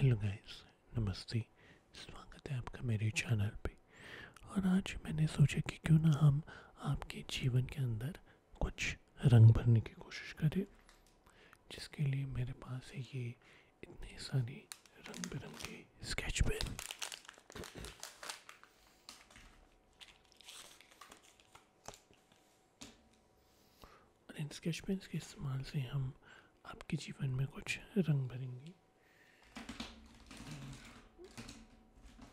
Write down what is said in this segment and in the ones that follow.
Hello guys नमस्ते स्वागत है आपका मेरे चैनल पे और आज मैंने सोचा कि क्यों ना हम आपके जीवन के अंदर कुछ रंग भरने की कोशिश करें जिसके लिए मेरे पास है ये इतने सारे रंग बिरंगे स्केच पेन और इन स्केच पेन के इस्तेमाल से हम आपके जीवन में कुछ रंग भरेंगे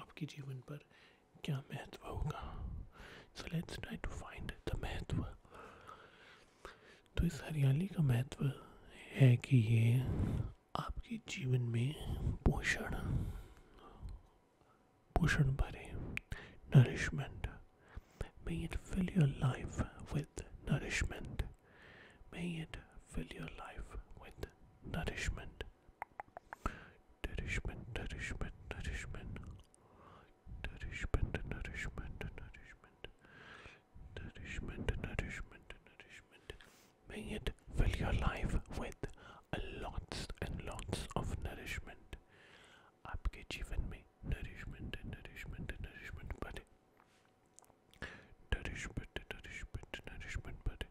आपके जीवन पर क्या महत्व होगा so let's try to find the महत्व तो इस हरियाली का महत्व है कि ये आपके जीवन में पोषण पोषण भरे nourishment may it fill your life with nourishment. May it fill your life with nourishment. nourishment, nourishment, nourishment, nourishment, nourishment, nourishment, nourishment, nourishment, nourishment. May it fill your life with lots and lots of nourishment. आपके जीवन में nourishment, nourishment, nourishment भरे. Nourishment, nourishment, nourishment भरे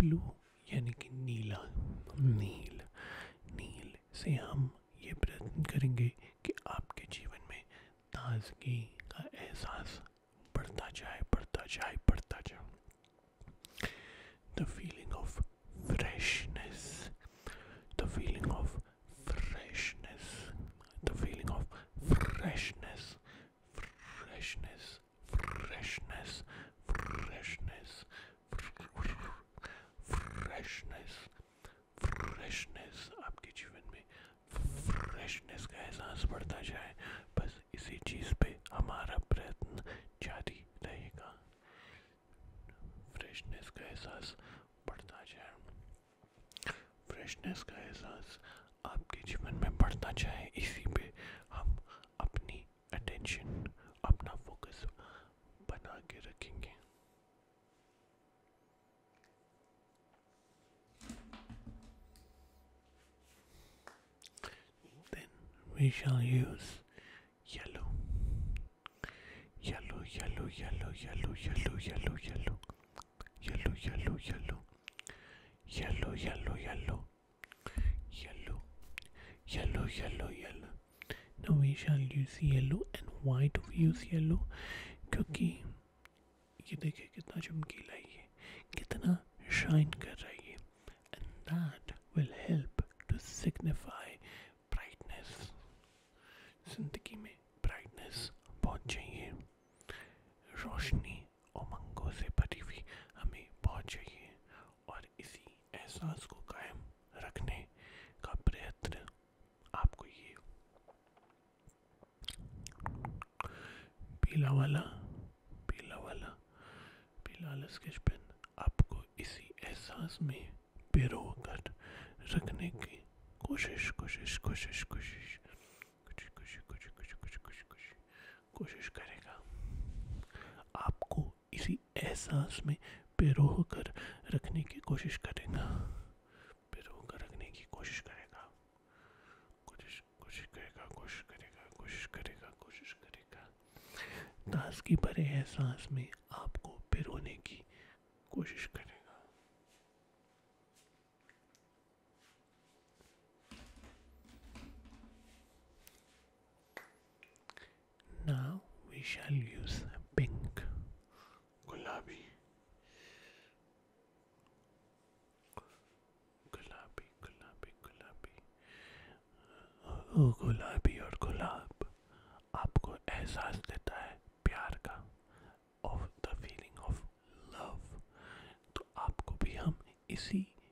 blue यानी कि नीला नील नील से हम ये प्रयत्न करेंगे कि आपके जीवन में ताजगी का एहसास बढ़ता जाए बढ़ता जाए बढ़ता जाए the feeling of freshness the feeling of freshness the feeling of freshness freshness freshness, freshness, freshness, freshness आपके जीवन में फ्रेशनेस का एहसास बढ़ता जाए बस इसी चीज़ पे हमारा प्रयत्न जारी रहेगा फ्रेशनेस का एहसास बढ़ता जाए फ्रेशनेस का एहसास आपके जीवन में बढ़ना चाहे इसी पे हम अपनी अटेंशन अपना फोकस बना के रखेंगे then we shall use yellow yellow yellow yellow yellow yellow yellow yellow yellow yellow yellow yellow yellow yellow Yellow, yellow, yellow, yellow. Now we shall use yellow and why do we use yellow? क्योंकि ये देखिए कितना चमकीला ये कितना shine कर रहा है ये and that will help to signify brightness. जिंदगी में brightness बहुत चाहिए रोशनी उमंगों से भरी हुई हमें बहुत चाहिए और इसी एहसास को कायम रखने का प्रयत्न आपको ये पीला वाला पीला वाला पीला वाला स्केच पेन आपको इसी एहसास में पिरो कर रखने की कोशिश कोशिश कोशिश कोशिश कुछ कुछ कुछ कुछ कुछ कुछ कोशिश करेगा आपको इसी एहसास में पिरोह कर रखने की कोशिश करेगा पिरोह कर रखने की कोशिश करेगा कोशिश कोशिश करेगा कोशिश करेगा कोशिश करेगा कोशिश करेगा ताजगी भरे एहसास में आपको पिरोने की कोशिश करेगा Now we shall use pink gulabi gulabi gulabi gulabi oh gulabi और गुलाब आपको एहसास देता है प्यार का of the feeling of love तो आपको भी हम इसी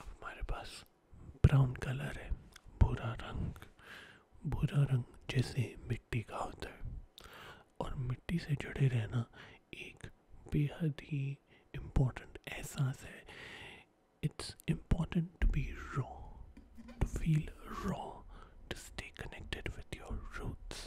अब हमारे पास ब्राउन कलर है बुरा रंग बुरा रंग जैसे मिट्टी का होता है और मिट्टी से जुड़े रहना एक बेहद ही इम्पोर्टेंट एहसास है it's important to be raw to feel raw to stay connected with your roots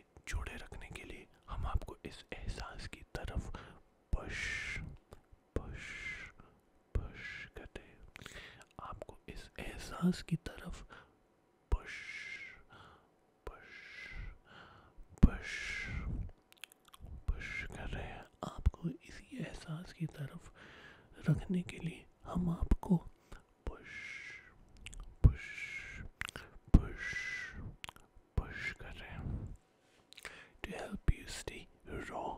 से जुड़े रखने के लिए हम आपको इस एहसास की तरफ पश पश पश करते हैं आपको इस एहसास की तरफ पुश पुश पुश आपको इसी एहसास की तरफ रखने के लिए हम आपको पुश पुश पुश पुश कर रहे हैं to help you stay raw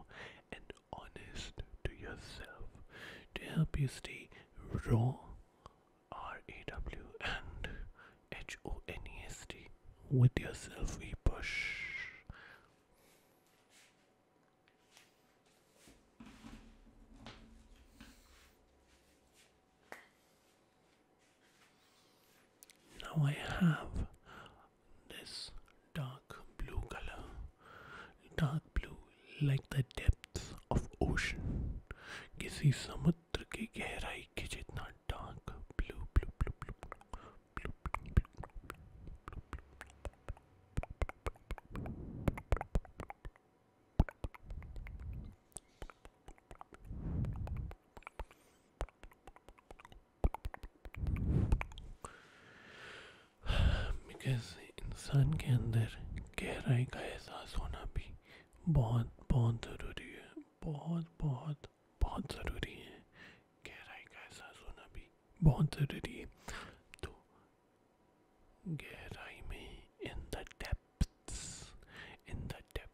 and honest to yourself, to help you stay raw, R A W and H O N E S T. With yourself, we push. Now I have this dark blue color, dark blue like the depths of ocean. किसी समुद्र की गहराई के जितना dark blue blue blue blue blue blue blue इंसान के अंदर गहराई का एहसास होना भी बहुत बहुत ज़रूरी है बहुत बहुत बहुत ज़रूरी है गहराई का एहसास होना भी बहुत ज़रूरी है तो गहराई में in the depths in the depth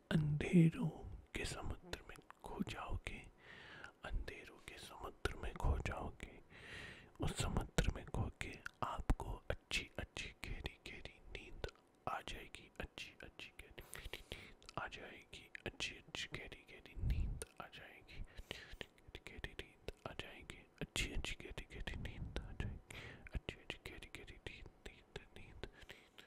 अंधेरों के समुद्र में खो जाओगे अंधेरों के समुद्र में खो जाओगे उस समुद्र में खो के आपको अच्छी अच्छी गहरी गहरी नींद आ जाएगी अच्छी अच्छी गहरी गहरी नींद आ जाएगी अच्छी अच्छी गहरी गहरी नींद आ जाएगी गहरी नींद आ जाएगी अच्छी अच्छी गहरी गहरी नींद आ जाएगी अच्छी अच्छी गहरी गहरी नींद नींद नींद नींद नींद